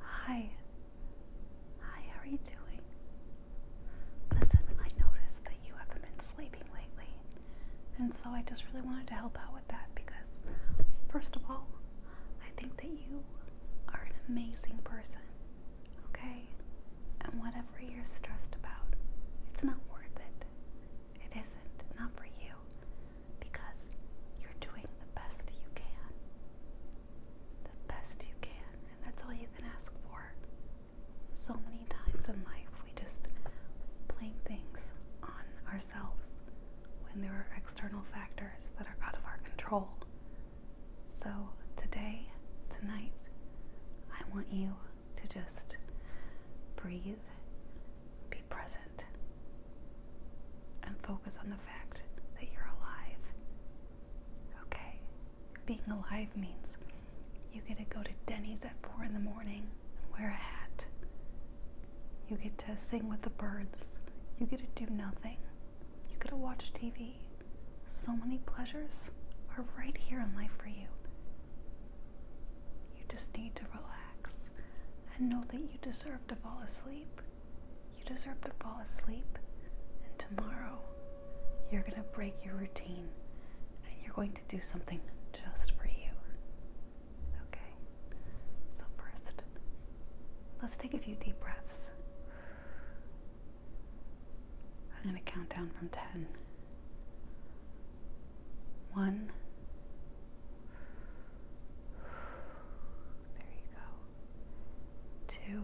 Hi. Hi, how are you doing? Listen, I noticed that you haven't been sleeping lately. And so I just really wanted to help out with that because, first of all, I think that you are an amazing person. Okay? And whatever you're stressed about, it's not worth it. It isn't. Not for you. Because you're doing the best you can the best you can, and that's all you can ask for. So many times in life, we just blame things on ourselves when there are external factors that are out of our control. So, today, tonight, I want you to just breathe, be present, and focus on the fact that you're alive. Okay? Being alive means you get to go to Denny's at 4 in the morning and wear a hat. You get to sing with the birds. You get to do nothing. You get to watch TV. So many pleasures are right here in life for you. You just need to relax and know that you deserve to fall asleep. You deserve to fall asleep, and tomorrow you're going to break your routine and you're going to do something just for you. Okay? So, first, let's take a few deep breaths. I'm going to count down from 10. One. There you go two,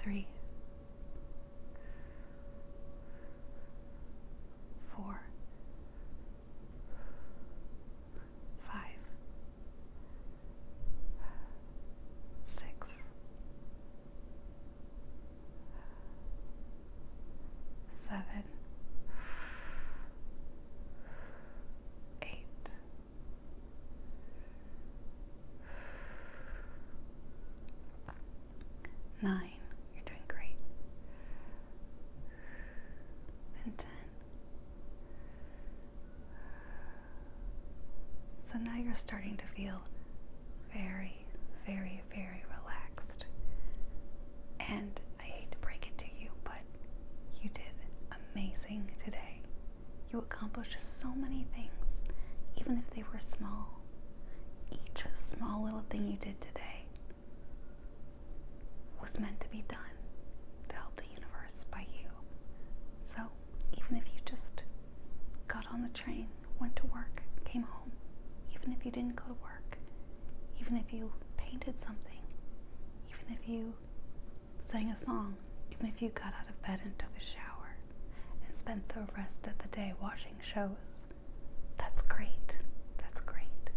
three, four, five, six seven, eight, nine. You're doing great. And ten. So now you're starting to feel very, very, very relaxed. And I hate to break it to you, but you did amazing today. You accomplished so many things, even if they were small. Each small little thing you did today was meant to be done to help the universe by you. So, even if you just got on the train, went to work, came home, even if you didn't go to work, even if you painted something, even if you sang a song, even if you got out of bed and took a shower and spent the rest of the day watching shows. That's great. That's great.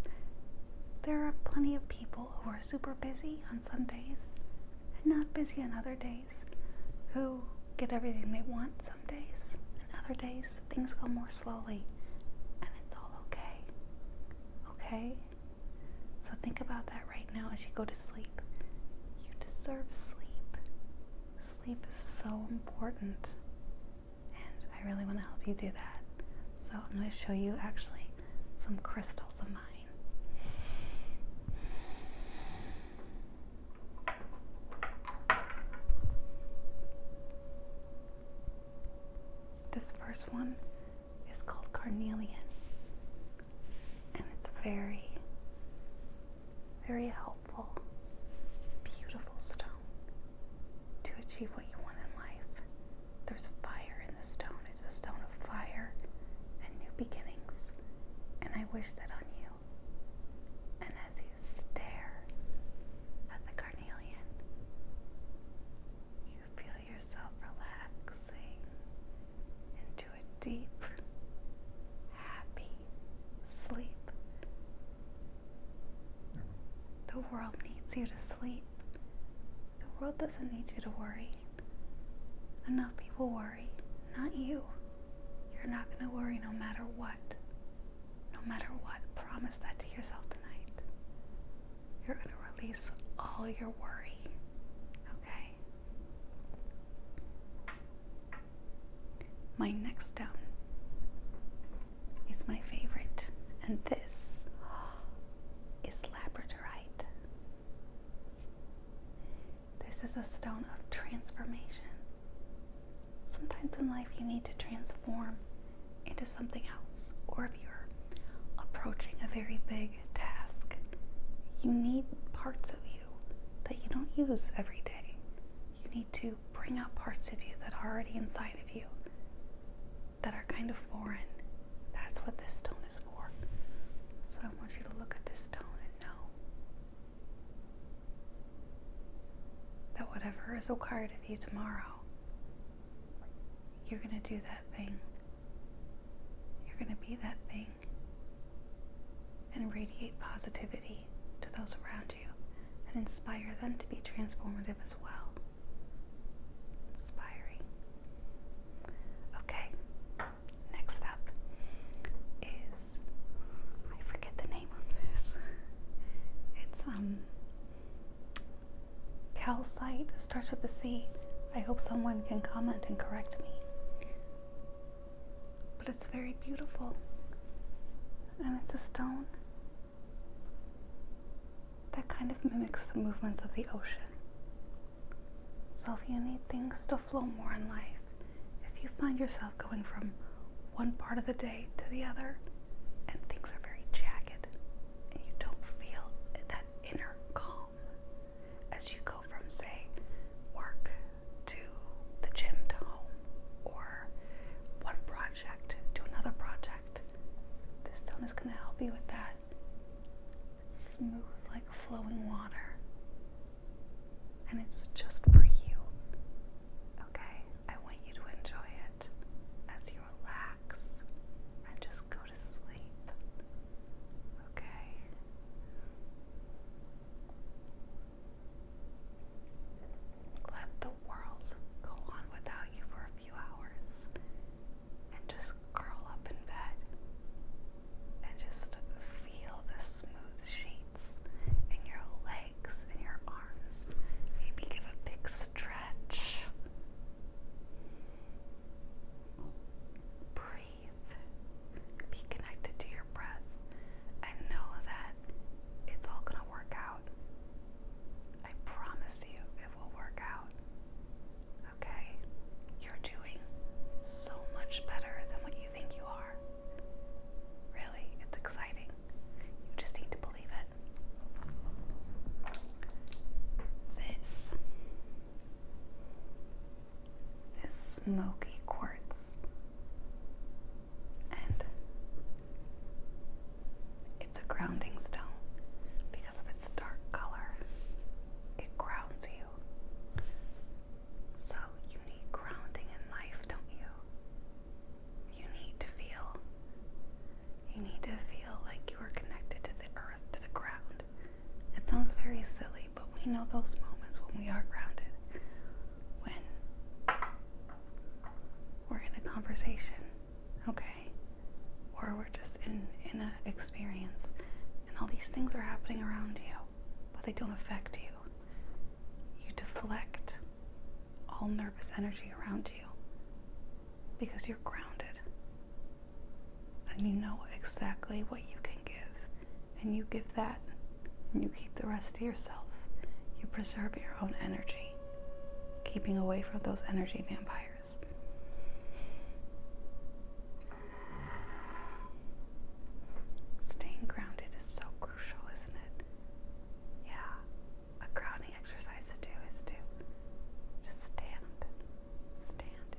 There are plenty of people who are super busy on some days and not busy on other days, who get everything they want some days, and other days things go more slowly, and it's all okay. Okay? So think about that right now as you go to sleep. You deserve sleep. Sleep is so important, and I really want to help you do that. So I'm going to show you actually some crystals of mine. This first one is called Carnelian, and it's very, very helpful, beautiful stone to achieve what you want in life. There's fire in the stone, it's a stone of fire and new beginnings, and I wish that on you. And as you stare at the carnelian. You feel yourself relaxing into a deep, happy sleep. The world needs you to sleep. The world doesn't need you to worry. Enough people worry, not you. You're not going to worry no matter what no matter what, promise that to yourself tonight. You're going to release all your worry, okay? My next stone is my favorite, and this is labradorite. This is a stone of transformation. Sometimes in life you need to transform into something else, or if you're approaching a very big task, you need parts of you that you don't use every day. You need to bring out parts of you that are already inside of you that are kind of foreign. That's what this stone is for. So I want you to look at this stone and know that whatever is required of you tomorrow you're going to do that thing. You're going to be that thing. And radiate positivity to those around you and inspire them to be transformative as well. Inspiring. Okay, next up is I forget the name of this. It's um Calcite starts with the C. I hope someone can comment and correct me. But it's very beautiful. And it's a stone that kind of mimics the movements of the ocean. So if you need things to flow more in life, if you find yourself going from one part of the day to the other, and things are very jagged you don't feel that inner calm as you go from, say, work to the gym to home or one project to another project. This stone is going to help you with that. smooth like flowing water. And it's just for you. Okay? I want you to enjoy it as you relax and just go to sleep. Okay? Let the world go on without you for a few hours and just curl up in bed and just feel the smooth sheets in your legs legs your arms. Maybe give a big stretch. Breathe. Be connected to your breath and know that it's all going to work out. I promise you it will work out. Okay? You're doing so much better than what you think you are. Really, it's exciting. You just need to believe it. This is smoky quartz. And it's a grounding stone because of its dark color. It grounds you. So you need grounding in life, don't you? You need to feel. You need to feel like you are connected to the earth, to the ground. It sounds very silly, but we know those moments when we are grounded. When we're in a conversation, okay? Or we're just in, in an experience and all these things are happening around you, but they don't affect you. You deflect all nervous energy around you because you're grounded and you know exactly what you can give, and you give that, and you keep the rest to yourself. You preserve your own energy, keeping away from those energy vampires. Staying grounded is so crucial, isn't it? Yeah, a grounding exercise to do is to just stand, stand,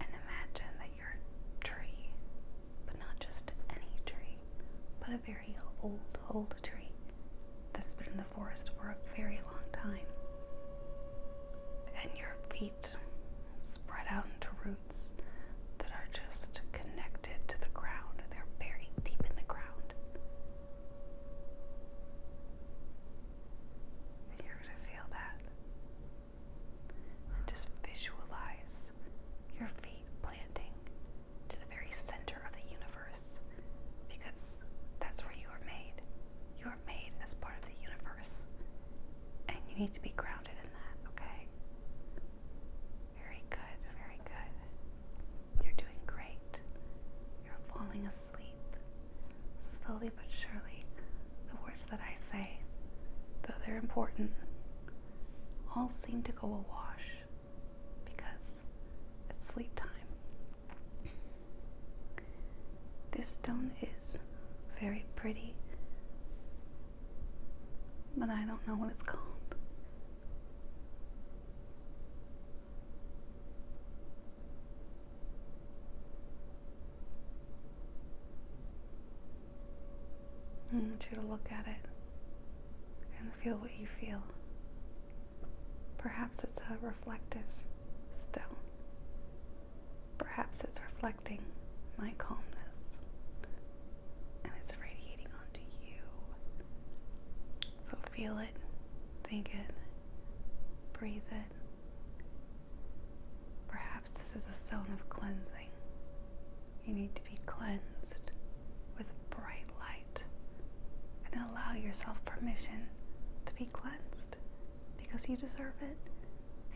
and imagine that you're a tree, but not just any tree, but a very old, old tree that's been in the forest for a very long time. And your feet spread out into roots that are just connected to the ground. They're buried deep in the ground. You're going to feel that. And just visualize your feet planting to the very center of the universe because that's where you are made. You are made as part of the universe. And you need to be grounded in that, okay? Very good, very good. You're doing great. You're falling asleep. Slowly but surely, the words that I say, though they're important, all seem to go awash because it's sleep time. This stone is very pretty, but I don't know what it's called. I want you to look at it and feel what you feel. Perhaps it's a reflective still. Perhaps it's reflecting my calmness and it's radiating onto you. So feel it, Think it. Breathe it. Perhaps this is a zone of cleansing. You need to be cleansed with bright light and allow yourself permission to be cleansed because you deserve it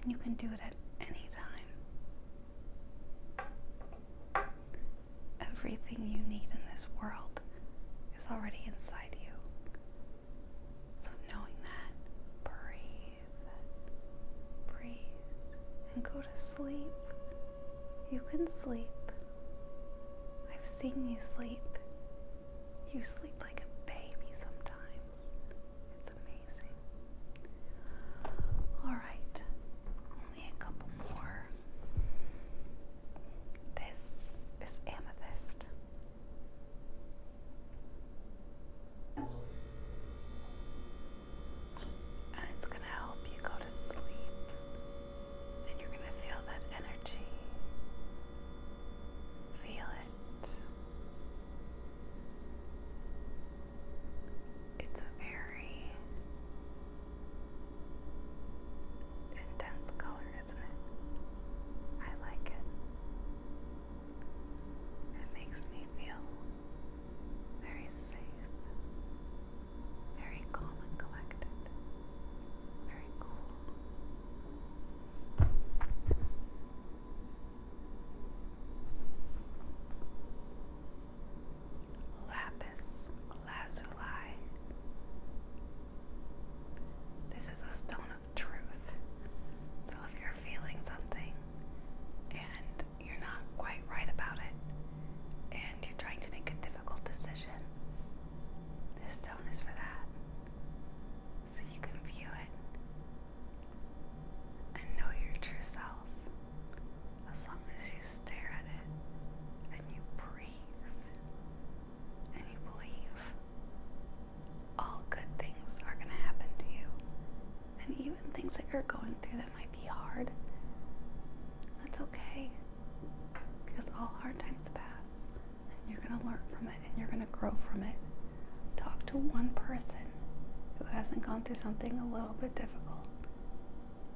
and you can do it at any time. Everything you need in this world is already inside you. So, knowing that, breathe, breathe, and go to sleep. You can sleep. I've seen you sleep. You sleep like a baby sometimes. It's amazing. Alright, only a couple more. This is amethyst. And it's going to help you go to sleep. And you're going to feel that energy. Feel it. It's very Intense color, isn't it? I like it. It makes me feel very safe, very calm and collected, very cool. Lapis lazuli this is a stone of truth. So if you're feeling something and you're not quite right about it and you're trying to make a difficult decision, this stone is for that. So you can view it and know your true self. As long as you stare at it and you breathe and you believe, all good things are going to happen to you. And even things that you're going through that might be hard, that's okay. Because all hard times pass, and you're going to learn from it and you're going to grow from it. Talk to one person who hasn't gone through something a little bit difficult.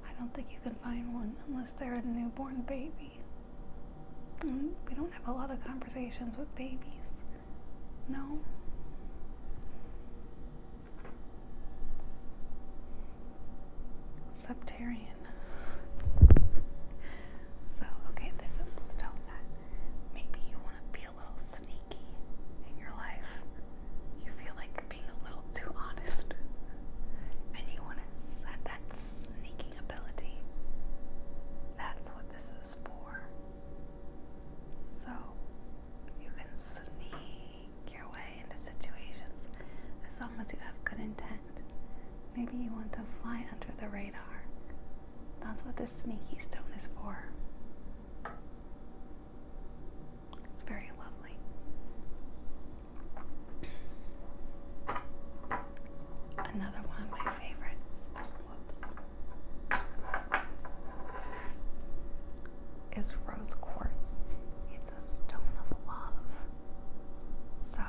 I don't think you can find one unless they're a newborn baby. We don't have a lot of conversations with babies. No. Septarian. So, okay, this is stuff maybe you want to be a little sneaky in your life. You feel like being a little too honest. And you want to set that sneaking ability. That's what this is for. So you can sneak your way into situations as long as you have good intent. Maybe you want to fly under the radar. That's what this sneaky stone is for. It's very lovely. Another one of my favorites. Is rose quartz. It's a stone of love. So,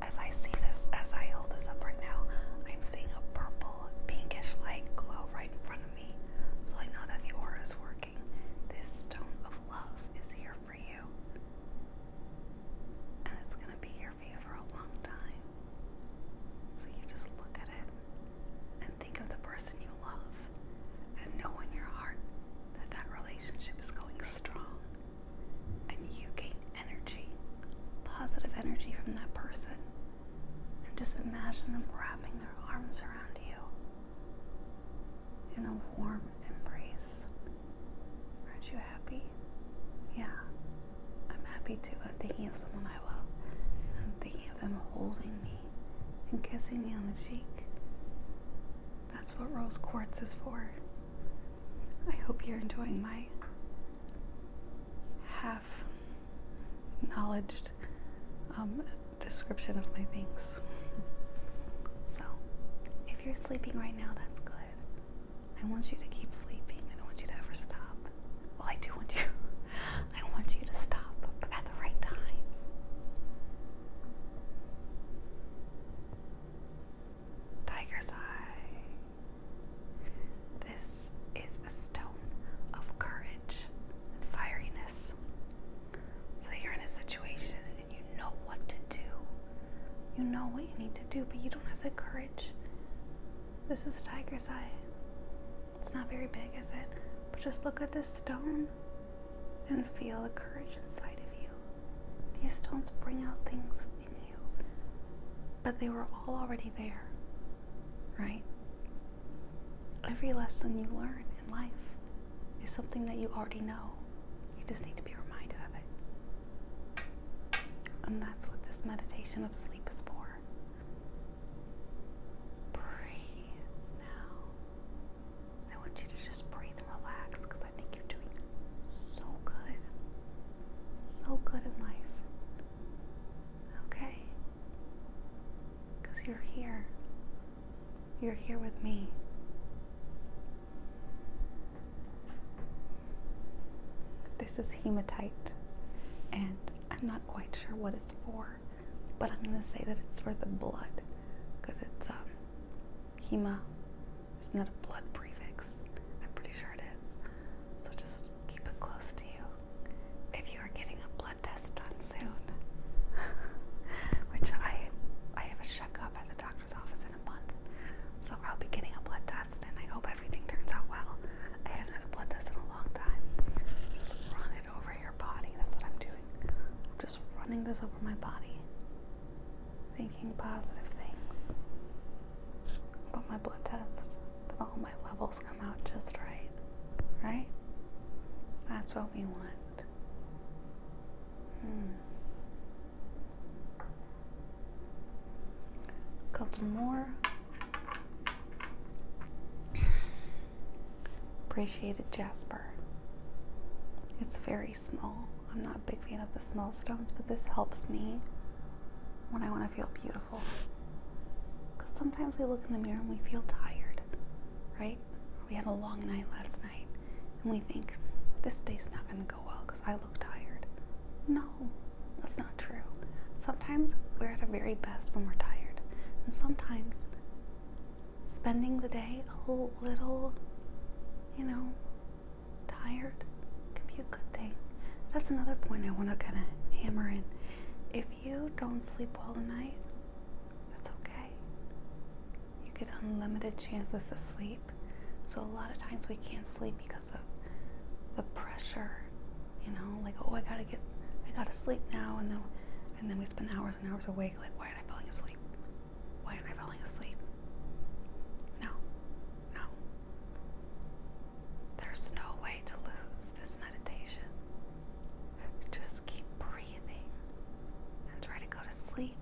as I see this, as I hold this up right now, I'm seeing a purple, pinkish light glow right in front of me. So I know that the aura is working. This stone of love is here for you. And it's going to be here for a long time. So you just look at it and think of the person you love and know in your heart that that relationship is going strong and you gain energy, positive energy from that person. And just imagine them wrapping their arms around you in a warm embrace. Aren't you happy? Yeah, I'm happy too. I'm thinking of someone I love. I'm thinking of them holding me and kissing me on the cheek. That's what rose quartz is for. I hope you're enjoying my half knowledged um, description of my things. So, if you're sleeping right now, that's good. I want you to keep sleeping. I don't want you to ever stop. Well, I do want you. I want you to stop, but at the right time. Tiger's Eye. This is a stone of courage and fieriness. So you're in a situation you know what to do. You know what you need to do, but you don't have the courage. This is Tiger's Eye. It's not very big, is it? But just look at this stone and feel the courage inside of you. These stones bring out things within you, but they were all already there, right? Every lesson you learn in life is something that you already know. You just need to be reminded of it. And that's what this meditation of sleep is for. Breathe now. I want you to just breathe relax because I think you're doing so good. So good in life. Okay? Because you're here. You're here with me. This is hematite, and I'm not quite sure what it's for, but I'm going to say that it's for the blood because it's um, hema. Isn't that a blood prefix? I'm pretty sure it is. So just keep it close to you. If you are getting a blood test done soon, which I I have a checkup at the doctor office in a month, so I'll be getting a blood test, and I hope everything turns out well. I haven't had a blood test in a long time. Just run it over your body. That's what I'm doing. I'm just running this over my body, thinking positive things about my blood test, that all my levels come out just right. Right? That's what we want. Hmm. couple more. Appreciated jasper. It's very small. I'm not a big fan of the small stones, but this helps me when I want to feel beautiful. Because sometimes we look in the mirror and we feel tired, right? We had a long night last night and we think this day's not going to go well because I look tired. No, that's not true. Sometimes we're at our very best when we're tired, and sometimes spending the day a little, you know, tired can be a good thing. That's another point I want to kind of hammer in. If you don't sleep well tonight, that's okay you get unlimited chances to sleep. So, a lot of times we can't sleep because of the pressure, you know, like, oh, I gotta get, I gotta sleep now. And then, and then we spend hours and hours awake, like, why aren't I falling asleep? Why aren't I falling asleep? No, no. There's no way to lose this meditation. Just keep breathing and try to go to sleep.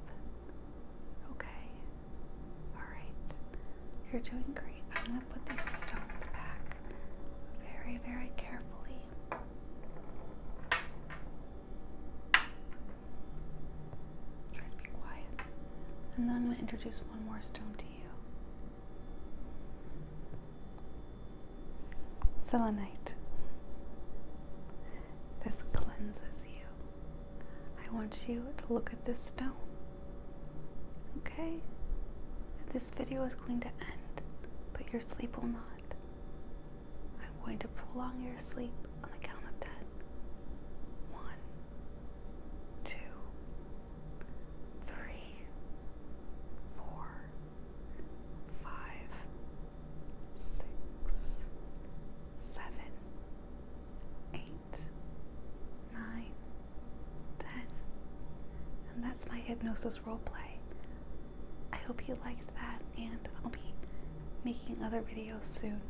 Okay. Alright. You're doing great. I'm going to put these stones back very, very carefully. Try to be quiet. And then I'm going to introduce one more stone to you. Selenite. This cleanses you. I want you to look at this stone. Okay? This video is going to end, but your sleep will not. I'm going to prolong your sleep on the count of ten. One, two, three, four, five, six, seven, eight, nine, ten. And that's my hypnosis role play. I hope you liked that, and I'll be making other videos soon.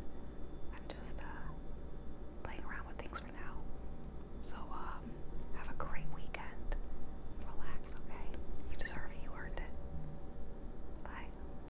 I'm just uh, playing around with things for now. So, um, have a great weekend. Relax, okay? You deserve it, you earned it. Bye.